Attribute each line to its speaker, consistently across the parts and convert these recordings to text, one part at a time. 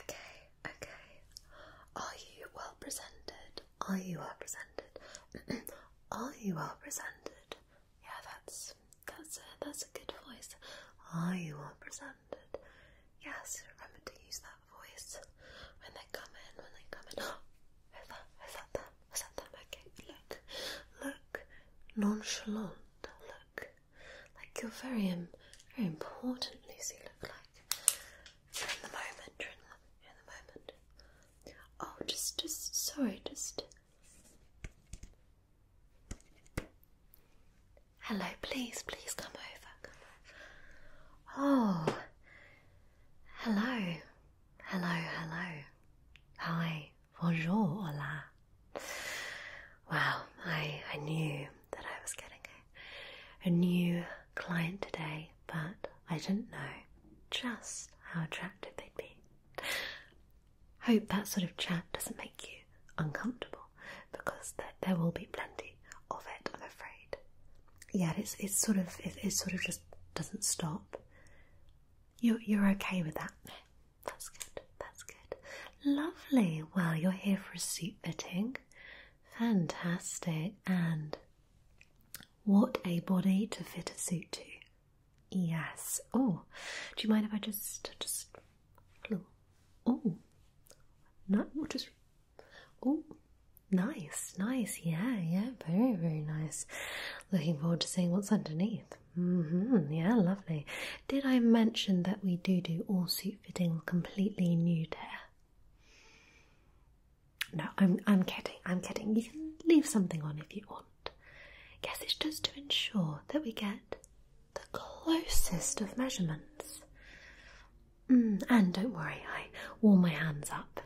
Speaker 1: Okay, okay. Are you well presented? Are you well presented? Are you well presented? Yeah, that's that's a, that's a good voice. Are you well presented? Yes, remember to use that voice when they come in. When they come in. Oh, is that is that them? Is that Okay, look, look, nonchalant. Look, like you're very, um, very important, Lucy. Look like you're in the moment. You're in the, in the moment. Oh, just, just sorry, just. Hello, please, please come over. Come over. Oh, hello, hello, hello. Hi, bonjour, hola. Wow, I I knew that I was getting a, new client today, but I didn't know just how attractive they'd be. Hope that sort of chat doesn't make you uncomfortable because there, will be plenty of it, I'm afraid. Yeah, it's it's sort of it, sort of just doesn't stop. You're you're okay with that? that's good. That's good. Lovely. Well, you're here for a suit fitting. Fantastic. And what a body to fit a suit to. Yes. Oh, do you mind if I just, just, oh, no, just, oh, nice, nice. Yeah, yeah, very, very nice. Looking forward to seeing what's underneath. Mm-hmm. Yeah, lovely. Did I mention that we do do all suit fitting completely nude here? No, I'm I'm kidding. I'm kidding. You can leave something on if you want. Guess it's just to ensure that we get the closest of measurements. Mm, and don't worry, I warm my hands up.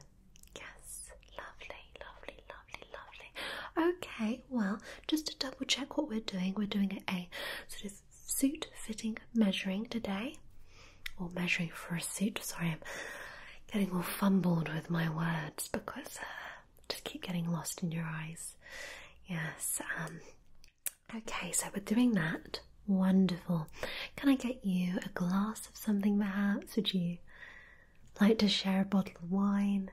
Speaker 1: Yes, lovely, lovely, lovely, lovely. Okay, well, just to double check what we're doing, we're doing a sort suit fitting measuring today, or measuring for a suit. Sorry, I'm getting all fumbled with my words because uh, just keep getting lost in your eyes. Yes. Um, okay, so we're doing that. Wonderful. Can I get you a glass of something perhaps? Would you like to share a bottle of wine?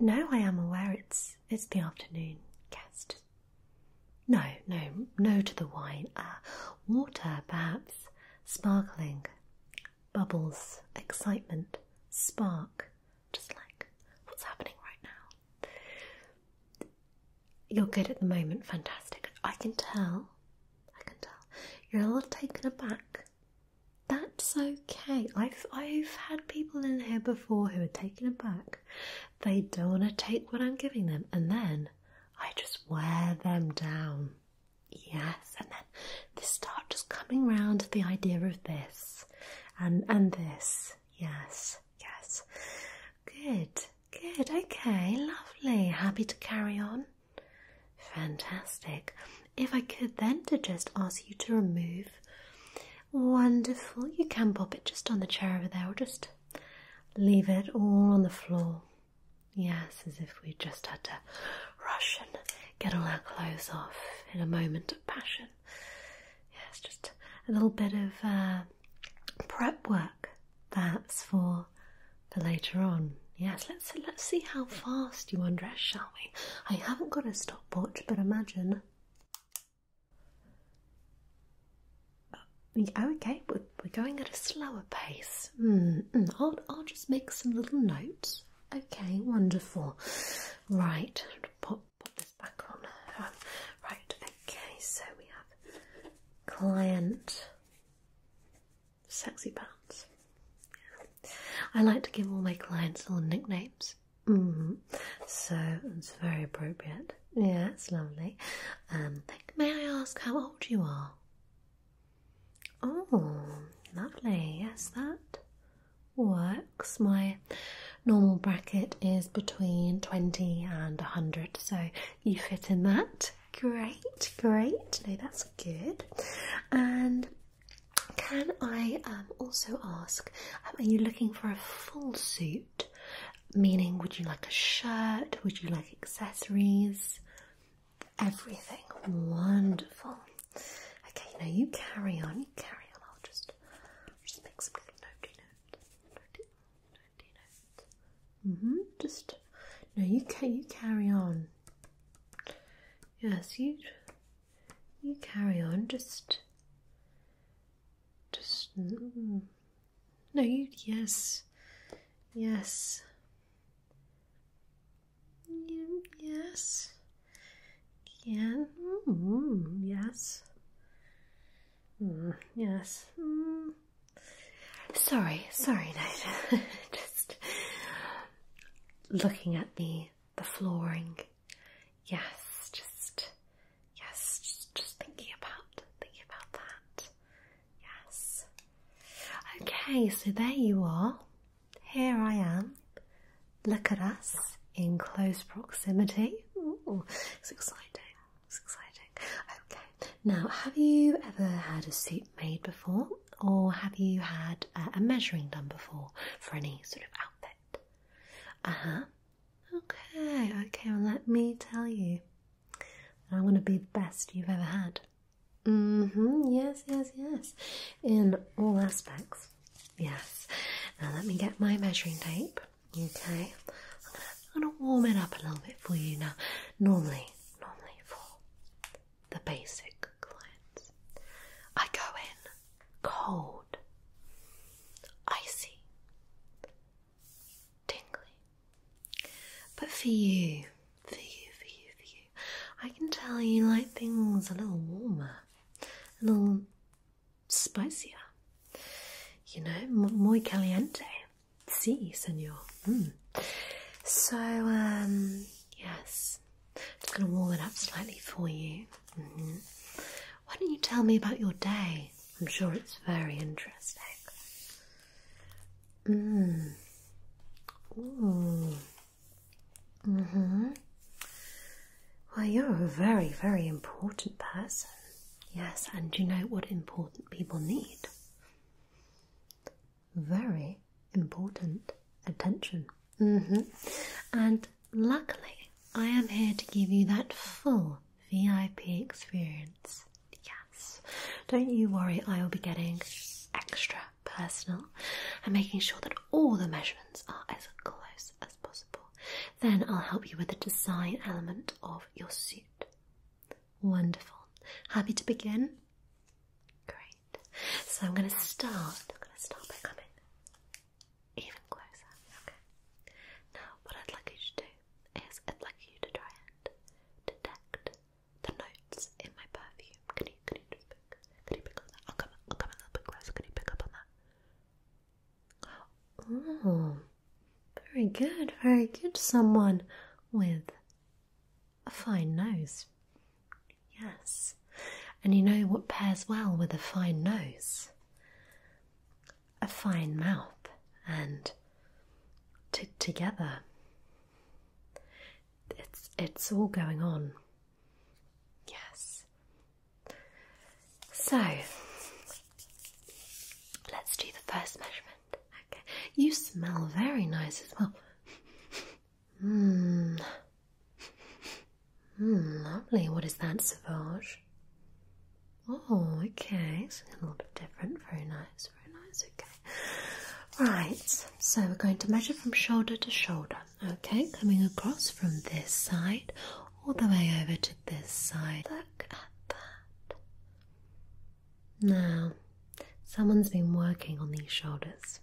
Speaker 1: No, I am aware it's it's the afternoon guest, no, no, no to the wine. Uh, water, perhaps. Sparkling. Bubbles. Excitement. Spark. Just like what's happening right now. You're good at the moment. Fantastic. I can tell. I can tell. You're a little taken aback. That's okay. I've I've had people in here before who are taken aback they don't want to take what I'm giving them, and then I just wear them down. Yes, and then they start just coming round the idea of this and and this. Yes, yes. Good, good, okay, lovely. Happy to carry on. Fantastic. If I could then to just ask you to remove Wonderful. You can pop it just on the chair over there or just leave it all on the floor. Yes, as if we just had to rush and get all our clothes off in a moment of passion. Yes, just a little bit of uh, prep work that's for for later on. Yes, let's let's see how fast you undress, shall we? I haven't got a stopwatch, but imagine uh, okay, we're, we're going at a slower pace. Hmm, hmm, I'll, I'll just make some little notes. Okay, wonderful. Right, put pop this back on. Um, right, okay, so we have client sexy pants. I like to give all my clients little nicknames. Mm-hmm. So it's very appropriate. Good. Yeah, that's lovely. Um, may I ask how old you are? Oh, lovely. Yes, that works. My normal bracket is between 20 and 100, so you fit in that. Great, great. No, that's good. And can I um, also ask, um, are you looking for a full suit? meaning would you like a shirt? Would you like accessories? Everything. Wonderful. Okay, now you carry on, you carry on. I'll just just make some little notey notes. notes. Mm-hmm. Just no, you can you carry on. Yes, you you carry on. Just just mm-hmm. No, you. Yes. Yes. You, yes. Can. Mm, yes. Mm, yes. Mm. Sorry, sorry, Nathan. Just looking at the the flooring. Yes, just Yes, just, thinking about thinking about that. Yes. Okay, so there you are. Here I am. Look at us in close proximity. it's exciting. It's exciting. Okay. Now, have you ever had a suit made before, or have you had a measuring done before for any sort of outfit? Uh huh. Okay, okay, well, let me tell you. I want to be the best you've ever had. Mm hmm, yes, yes, yes. In all aspects. Yes. Now, let me get my measuring tape. Okay. I'm gonna, I'm gonna warm it up a little bit for you now. Normally, normally for the basic clients, I go in cold, icy, tingly. But for you, for you, for you, for you, I can tell you like things a little warmer, a little spicier. You know, muy caliente. Si, senor. Mm. So, um, yes, I am gonna warm it up slightly for you. Mm-hmm. Why don't you tell me about your day? I'm sure it's very interesting. Mm. Ooh. hmm Well, you're a very, very important person. Yes, and you know what important people need? Very important attention. hmm And luckily, I am here to give you that full VIP experience. Yes. Don't you worry, I will be getting extra personal and making sure that all the measurements are as close as possible. Then I'll help you with the design element of your suit. Wonderful. Happy to begin? Great. So I'm going to start. I'm going to start by coming even closer. Okay. Now, what I'd like you to do as I'd like you to try and detect the notes in my perfume. Can you, can you can you pick on that? I'll come, I'll come a little bit closer. Can you pick up on that? Oh, very good, very good. Someone with a fine nose. Yes. And you know what pairs well with a fine nose? a fine mouth and together. It's it's all going on. Yes. So let's do the first measurement. Okay. You smell very nice as well. Hmm, hmm lovely. What is that, Savage? Oh, okay, so a little bit different. Very nice, very nice. Okay. Right, so we're going to measure from shoulder to shoulder. Okay, coming across from this side all the way over to this side. Look at that. Now, someone's been working on these shoulders.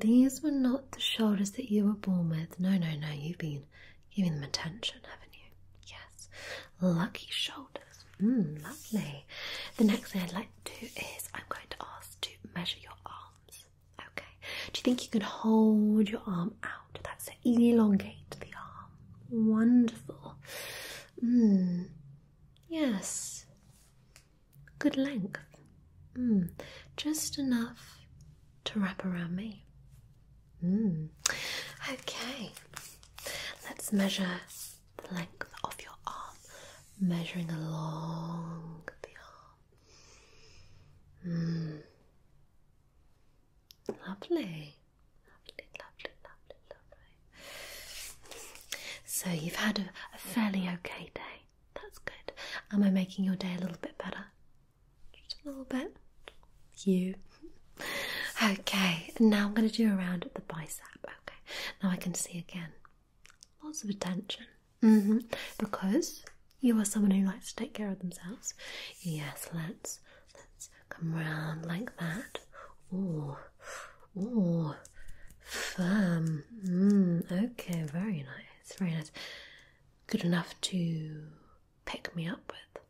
Speaker 1: These were not the shoulders that you were born with. No, no, no, you've been giving them attention, haven't you? Yes lucky shoulders. Mm, lovely. The next thing I'd like to do is I'm going to ask to measure your arms. Okay. Do you think you could hold your arm out? That's Elongate the arm. Wonderful. Mm. Yes. Good length. Mm. Just enough to wrap around me. Hmm. Okay, let's measure the length of your arm, measuring along the arm. Hmm. Lovely. Lovely, lovely, lovely, lovely. So you've had a fairly okay day. That's good. Am I making your day a little bit better? Just a little bit you. Okay, now I'm going to do a round at the bicep. Okay, now I can see again. Lots of attention. -hmm. Because you are someone who likes to take care of themselves. Yes, let's let's come round like that. Oh, oh, firm. Mm, okay, very nice, very nice. Good enough to pick me up with.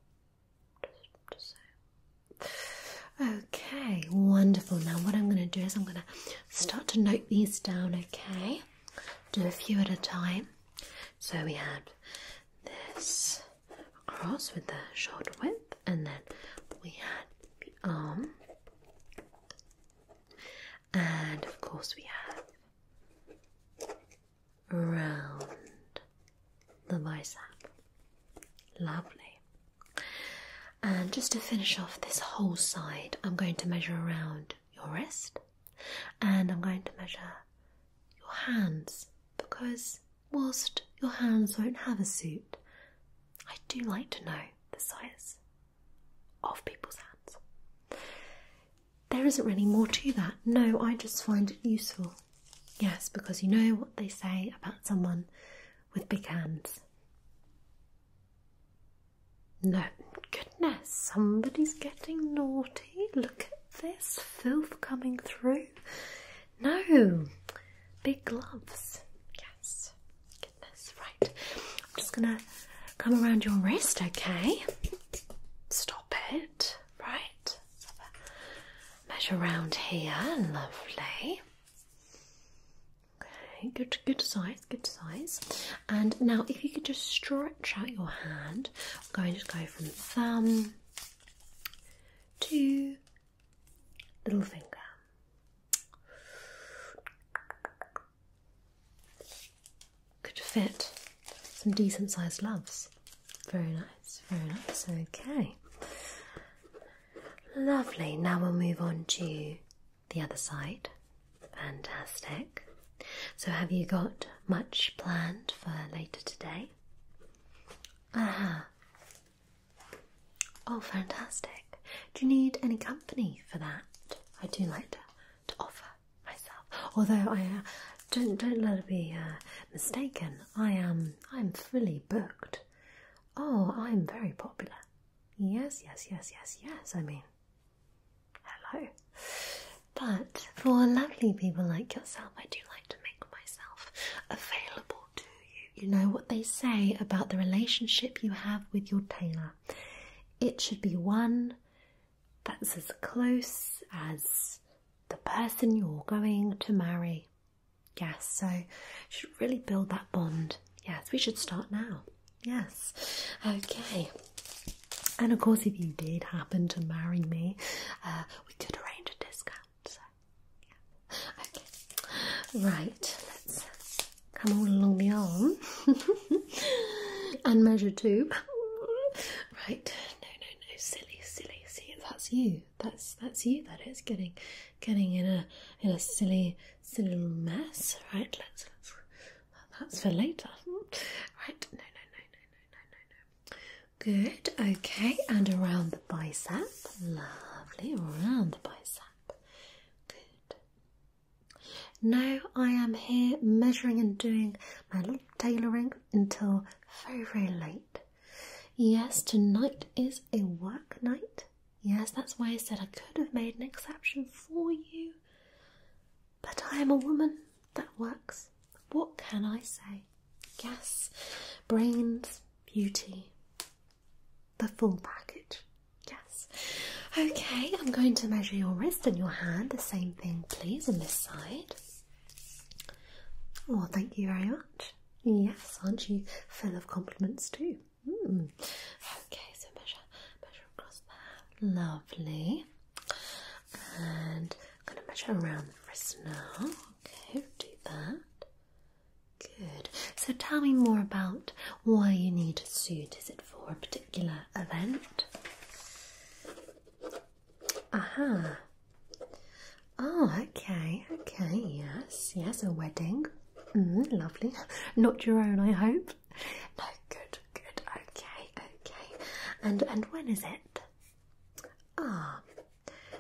Speaker 1: Okay, wonderful. Now, what I'm going to do is I'm going to start to note these down, okay? Do a few at a time. So we had this cross with the short width, and then we had the arm, and of course, we have round the bicep. Lovely. And just to finish off this whole side, I'm going to measure around your wrist and I'm going to measure your hands because whilst your hands won't have a suit, I do like to know the size of people's hands. There isn't really more to that. No, I just find it useful Yes, because you know what they say about someone with big hands. No, goodness, somebody's getting naughty. Look at this filth coming through. No, big gloves. Yes, goodness, right. I'm just gonna come around your wrist, okay? Stop it, right? measure around here. Lovely. Okay, good, good size, good size. And now, if you could just stretch out your hand, I'm going to go from thumb to little finger. Could fit some decent sized loves. Very nice, very nice. Okay. Lovely. Now we'll move on to the other side. Fantastic. So, have you got much planned for later today? Ah. Oh, fantastic. Do you need any company for that? I do like to, offer myself. Although I uh, don't don't let it be uh, mistaken. I am I'm fully booked Oh, I'm very popular. Yes, yes, yes, yes, yes. I mean, hello. But for lovely people like yourself, I do like to make myself available to you. You know what they say about the relationship you have with your tailor. It should be one that's as close as the person you're going to marry. Yes, so you should really build that bond. Yes, we should start now. Yes, okay. And of course, if you did happen to marry me, uh, we could arrange a discount. So, yeah. Okay, right. Let's come all along the arm and measure two. right. No, no, no. Silly, silly. See, that's you you. That's that's you. That is getting getting in a in a silly silly little mess. Right. Let's. let's that's for later. Right. No. No. No. No. No. No. No. No. Good. Okay. And around the bicep. Lovely. Around the bicep. Good. Now I am here measuring and doing my little tailoring until very very late. Yes, tonight is a work night. Yes, that's why I said I could have made an exception for you. But I am a woman. That works. What can I say? Yes, brains, beauty, the full package. Yes. Okay, I'm going to measure your wrist and your hand. The same thing, please, on this side. Oh, thank you very much. Yes, aren't you full of compliments too? Hmm. Okay, so measure, measure across there. Lovely. And I'm going to measure around the wrist now. Okay, do that. Good. So tell me more about why you need a suit. Is it for a particular event? Aha. Oh, okay, okay, yes, yes, a wedding. Mm, lovely. Not your own, I hope. No, good, good, okay, okay. And and when is it? Ah,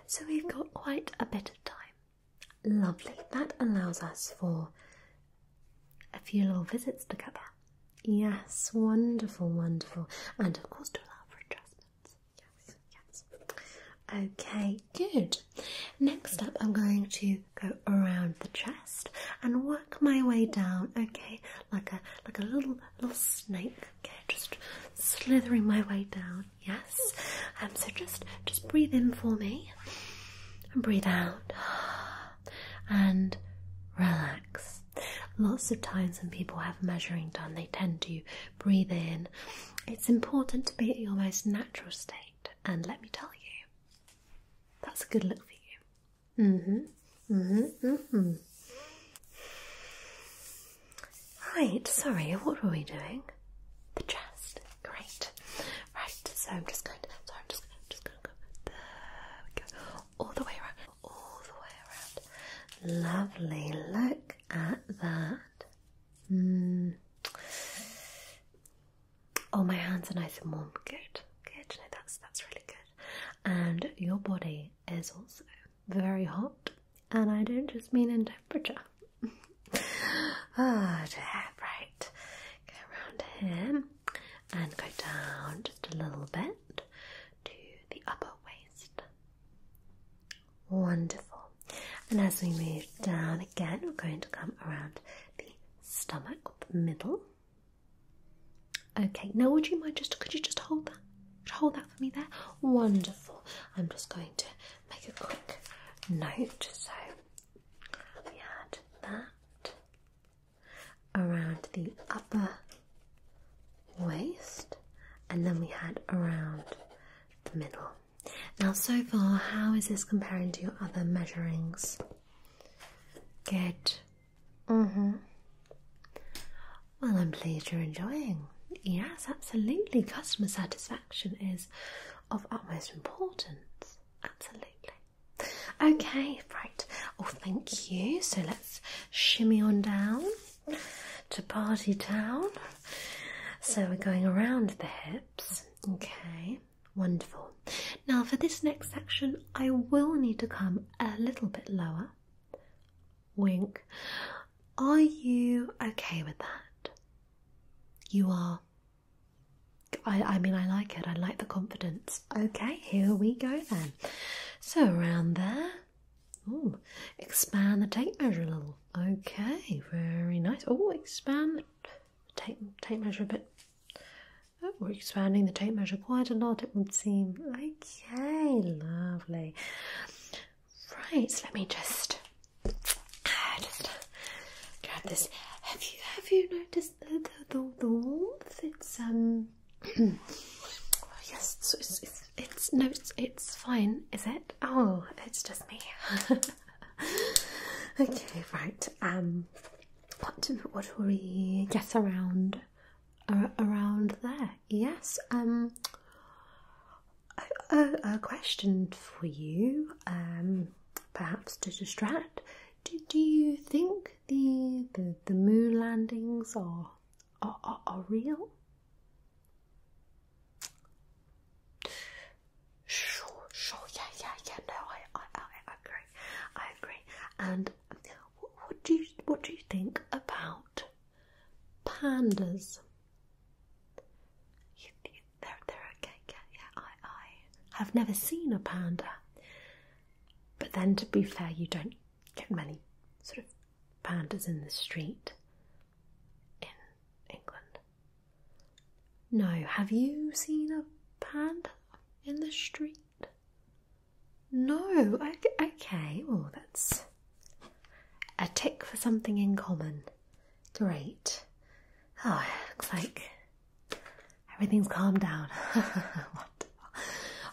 Speaker 1: so we've got quite a bit of time. Lovely. That allows us for a few little visits together. Yes, wonderful, wonderful. And of course to allow for adjustments yes, Okay, good. Next up, I'm going to go around the chest and work my way down. Okay, like a like a little little snake. Okay, just slithering my way down. Yes. Um. So just just breathe in for me and breathe out and relax. Lots of times when people have measuring done, they tend to breathe in it's important to be at your most natural state, and let me tell you, that's a good look for you. Mm hmm. Mm hmm. Mm hmm. Right, sorry, what were we doing? The chest. Great. Right, so I'm just going to, so I'm just, just going to go, there we go, all the way around, all the way around. Lovely, look at that. Hmm. Oh, my hands are nice and warm. Good, good. No, that's that's really good. And your body is also very hot, and I don't just mean in temperature. oh right. Go around here and go down just a little bit to the upper waist. Wonderful. And as we move down again, we're going to come around the stomach the middle. Okay, now would you mind just could you just hold that? hold that for me there. Wonderful. I'm just going to make a quick note. So we had that around the upper waist, and then we had around the middle. Now, so far, how is this comparing to your other measurings? Good. Mm-hmm. Well, I'm pleased you're enjoying. Yes, absolutely. Customer satisfaction is of utmost importance. Absolutely. Okay, right. Oh, thank you. So let's shimmy on down to Party Town. So we're going around the hip. Okay, wonderful. Now, for this next section, I will need to come a little bit lower. Wink. Are you okay with that? You are. I, I mean, I like it. I like the confidence. Okay, here we go then. So, around there. Ooh, expand the tape measure a little. Okay, very nice. Oh, expand tape tape measure a bit. Oh, we're expanding the tape measure quite a lot, it would seem. Okay, lovely. Right, let me just uh, just grab this. Have you have you noticed the the, the, warmth? It's um. yes, it's, it's, it's, it's no, it's, it's fine. Is it? Oh, it's just me. okay, right. Um, what do what do we get around around there? Yes. Um, a, question for you. Um, perhaps to distract. Do, do you think the the, the moon landings are, are, are real? Sure, sure, yeah, yeah, yeah. No, I, I, I agree. I agree. And what, do you, what do you think about pandas? they're, they're okay. yeah. I, I have never seen a panda. But then, to be fair, you don't get many sort of pandas in the street in England. No, have you seen a panda in the street? No, okay, okay. well, that's a tick for something in common. Great. Oh, it looks like everything's calmed down. wonderful,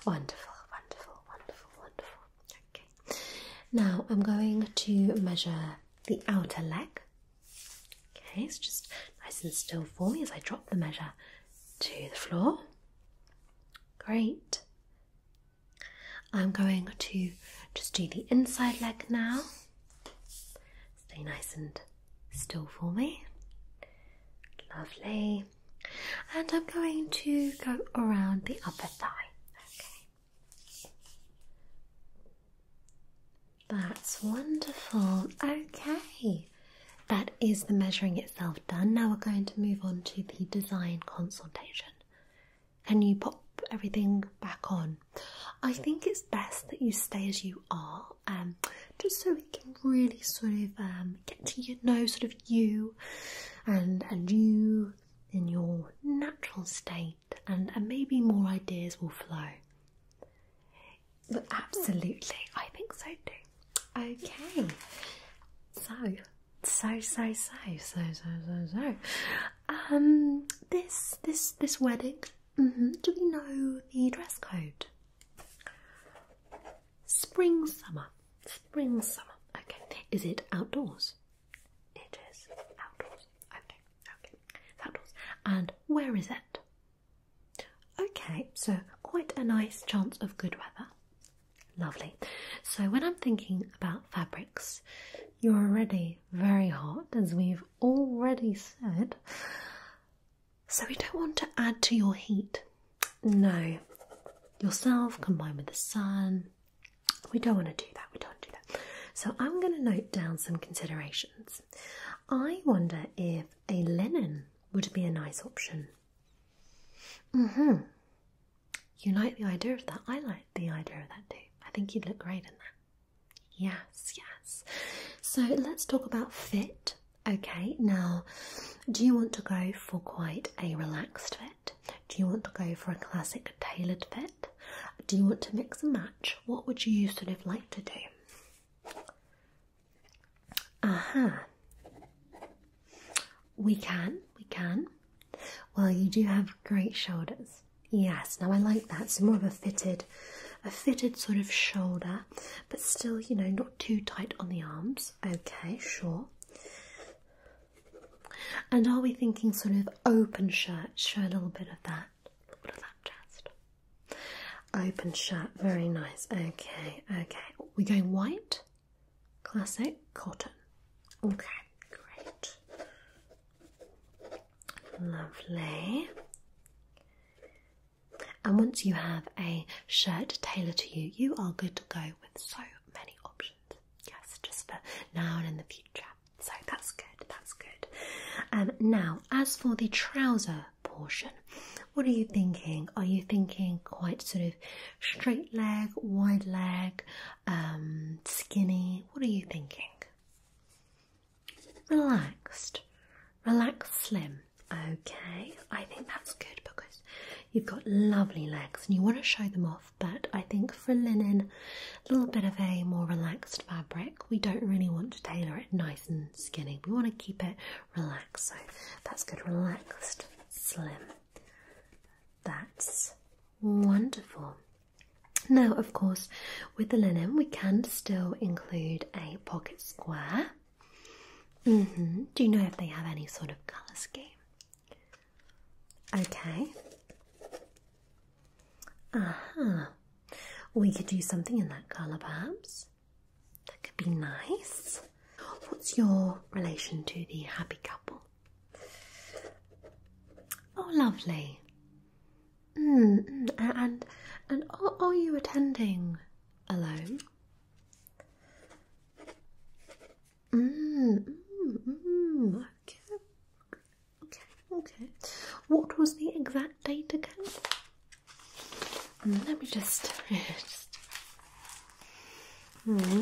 Speaker 1: wonderful, wonderful, wonderful, wonderful. Okay. Now I'm going to measure the outer leg Okay, it's just nice and still for me as I drop the measure to the floor. Great. I'm going to just do the inside leg now. Stay nice and still for me. Lovely. And I'm going to go around the upper thigh. Okay. That's wonderful. Okay, that is the measuring itself done. Now we're going to move on to the design consultation. Can you pop everything back on? I think it's best that you stay as you are, um, just so we can really sort of um, get to know sort of you and and you in your natural state and, maybe more ideas will flow. But absolutely, I think so too. Okay, so so so so so so so Um, this this this wedding. Mm -hmm. Do we know the dress code? Spring summer, spring summer. Okay, is it outdoors? It is outdoors. Okay, and where is it? Okay, so quite a nice chance of good weather. Lovely. So, when I'm thinking about fabrics, you're already very hot, as we've already said. So, we don't want to add to your heat. No, yourself combined with the sun. We don't want to do that. We don't do that. So, I'm going to note down some considerations. I wonder if a linen would be a nice option. hmm You like the idea of that? I like the idea of that too. I think you'd look great in that. Yes, yes. So let's talk about fit. Okay, now do you want to go for quite a relaxed fit? Do you want to go for a classic tailored fit? Do you want to mix and match? What would you sort of like to do? Uh -huh. We can, we can. Well, you do have great shoulders. Yes, now I like that. It's more of a fitted, a fitted sort of shoulder, but still, you know, not too tight on the arms. Okay, sure. And are we thinking sort of open shirt? Show a little bit of that all of that chest. Open shut, very nice. Okay, okay. We're going white, classic, cotton. Okay, great. Lovely. And once you have a shirt tailored to you, you are good to go with so many options. Yes, just for now and in the future so that's good, that's good. Um, now, as for the trouser portion, what are you thinking? Are you thinking quite sort of straight leg, wide leg, um, skinny? What are you thinking? Relaxed, relaxed, slim. Okay, I think that's good because you've got lovely legs and you want to show them off. But I think for linen, a little bit of a more relaxed fabric we don't really want to tailor it nice and skinny. We want to keep it relaxed. So that's good. Relaxed, slim. That's wonderful. Now, of course, with the linen, we can still include a pocket square. Mm-hmm. Do you know if they have any sort of colour scheme? Okay, uh-huh. We could do something in that colour perhaps. That could be nice. What's your relation to the happy couple? Oh, lovely. Mm, mm, and and are, you attending alone? Mm, mm Okay, okay. What was the exact date again? Hmm, let me just, hmm.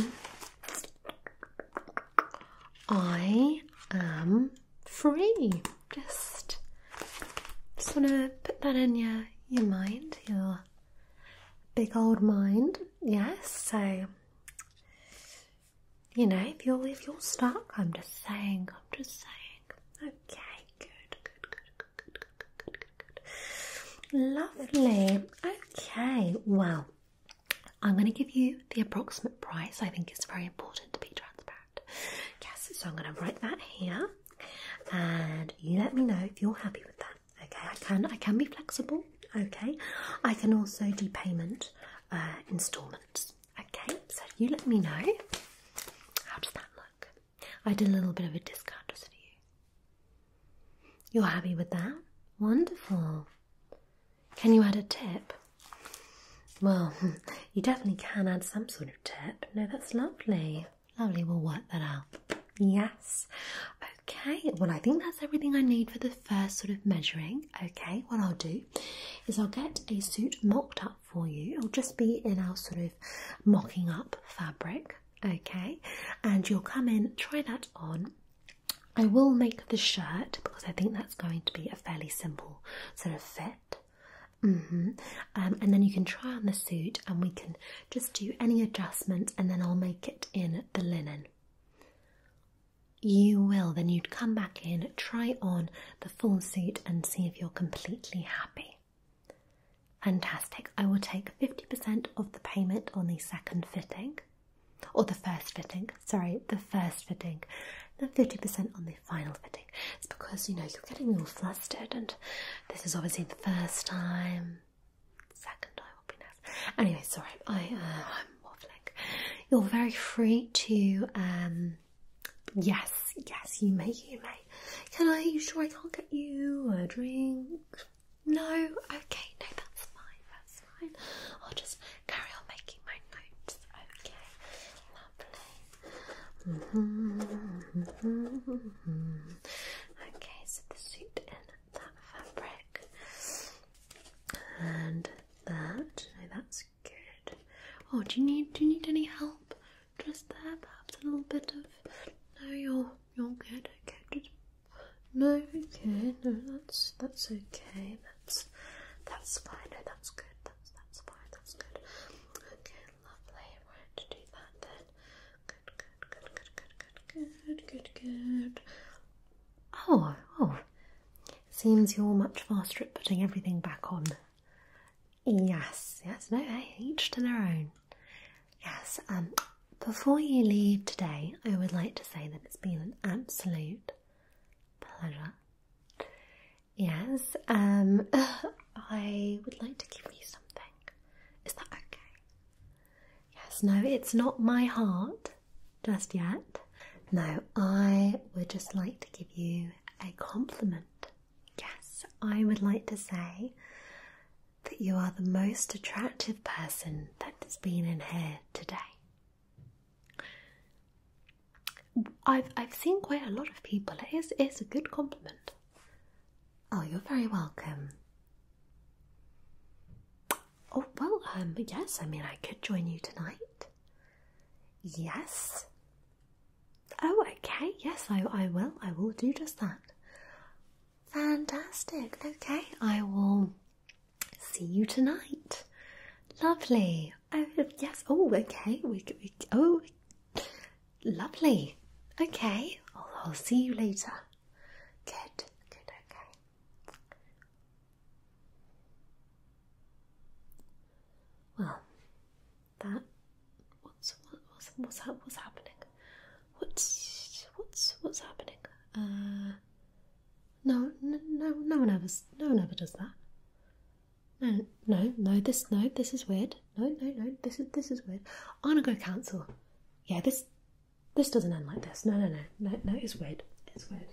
Speaker 1: I am free. Just, just wanna put that in your your mind, your big old mind. Yes. So, you know, if you're if you're stuck, I'm just saying. I'm just saying. Okay, good, good, good, good, good, good, good, good, good. Lovely. Okay, well, I'm going to give you the approximate price. I think it's very important to be transparent. Yes, so I'm going to write that here, and you let me know if you're happy with that. Okay, I can I can be flexible. Okay, I can also do payment installments. Okay, so you let me know. How does that look? I did a little bit of a discount just for you. You're happy with that? Wonderful. Can you add a tip? Well, you definitely can add some sort of tip. No, that's lovely. Lovely, we'll work that out. Yes. Okay, well, I think that's everything I need for the first sort of measuring. Okay, what I'll do is I'll get a suit mocked up for you. It'll just be in our sort of mocking up fabric, okay? And you'll come in, try that on. I will make the shirt because I think that's going to be a fairly simple sort of fit. Mm-hmm. Um, and then you can try on the suit, and we can just do any adjustments, and then I'll make it in the linen. You will, then you'd come back in, try on the full suit and see if you're completely happy. Fantastic. I will take 50% of the payment on the second fitting, or the first fitting, sorry, the first fitting, and 50% on the final fitting. It's because, you know, you're getting all flustered, and this is obviously the first time. Second time will be nice. Anyway, sorry, I, uh, I'm waffling. You're very free to um, yes, yes, you may, you may. Can I? You sure I can't get you a drink? No. Okay, no, that's fine. That's fine. I'll just carry on making my notes. Okay, lovely. Mm-hmm, mm-hmm, mm-hmm. Okay, so the suit in that fabric and that. No, that's good. Oh, do you need do you need any help? Just there, perhaps a little bit of. No, you're you're good. Okay, no. Okay, no, that's that's okay. That's that's fine. No, that's good. That's that's fine. That's good. Okay, lovely. Right, to do that then. good, good, good, good, good, good, good, good. Oh, oh. Seems you're much faster at putting everything back on Yes, yes, no, hey, eh, each to their own. Yes, um, before you leave today, I would like to say that it's been an absolute pleasure. Yes, um, I would like to give you something. Is that okay? Yes, no, it's not my heart just yet. No, I would just like to give you a compliment. Yes, I would like to say that you are the most attractive person that's been in here today. I've I've seen quite a lot of people. It is it's a good compliment. Oh, you're very welcome. Oh well, um, yes. I mean, I could join you tonight. Yes, Oh, okay. Yes, I, I will. I will do just that. Fantastic. Okay, I will see you tonight. Lovely. Oh, yes. Oh, okay. We, we oh, lovely. Okay, I'll, I'll see you later. Good. Good. Okay. Well, that what's what's what's what's happening? What's what's what's happening? Uh, no, no, no, no one ever, no one ever does that. No, no, no. This, no, this is weird. No, no, no. This is this is weird. i want to go cancel. Yeah, this this doesn't end like this. No, no, no, no, no. It's weird. It's weird.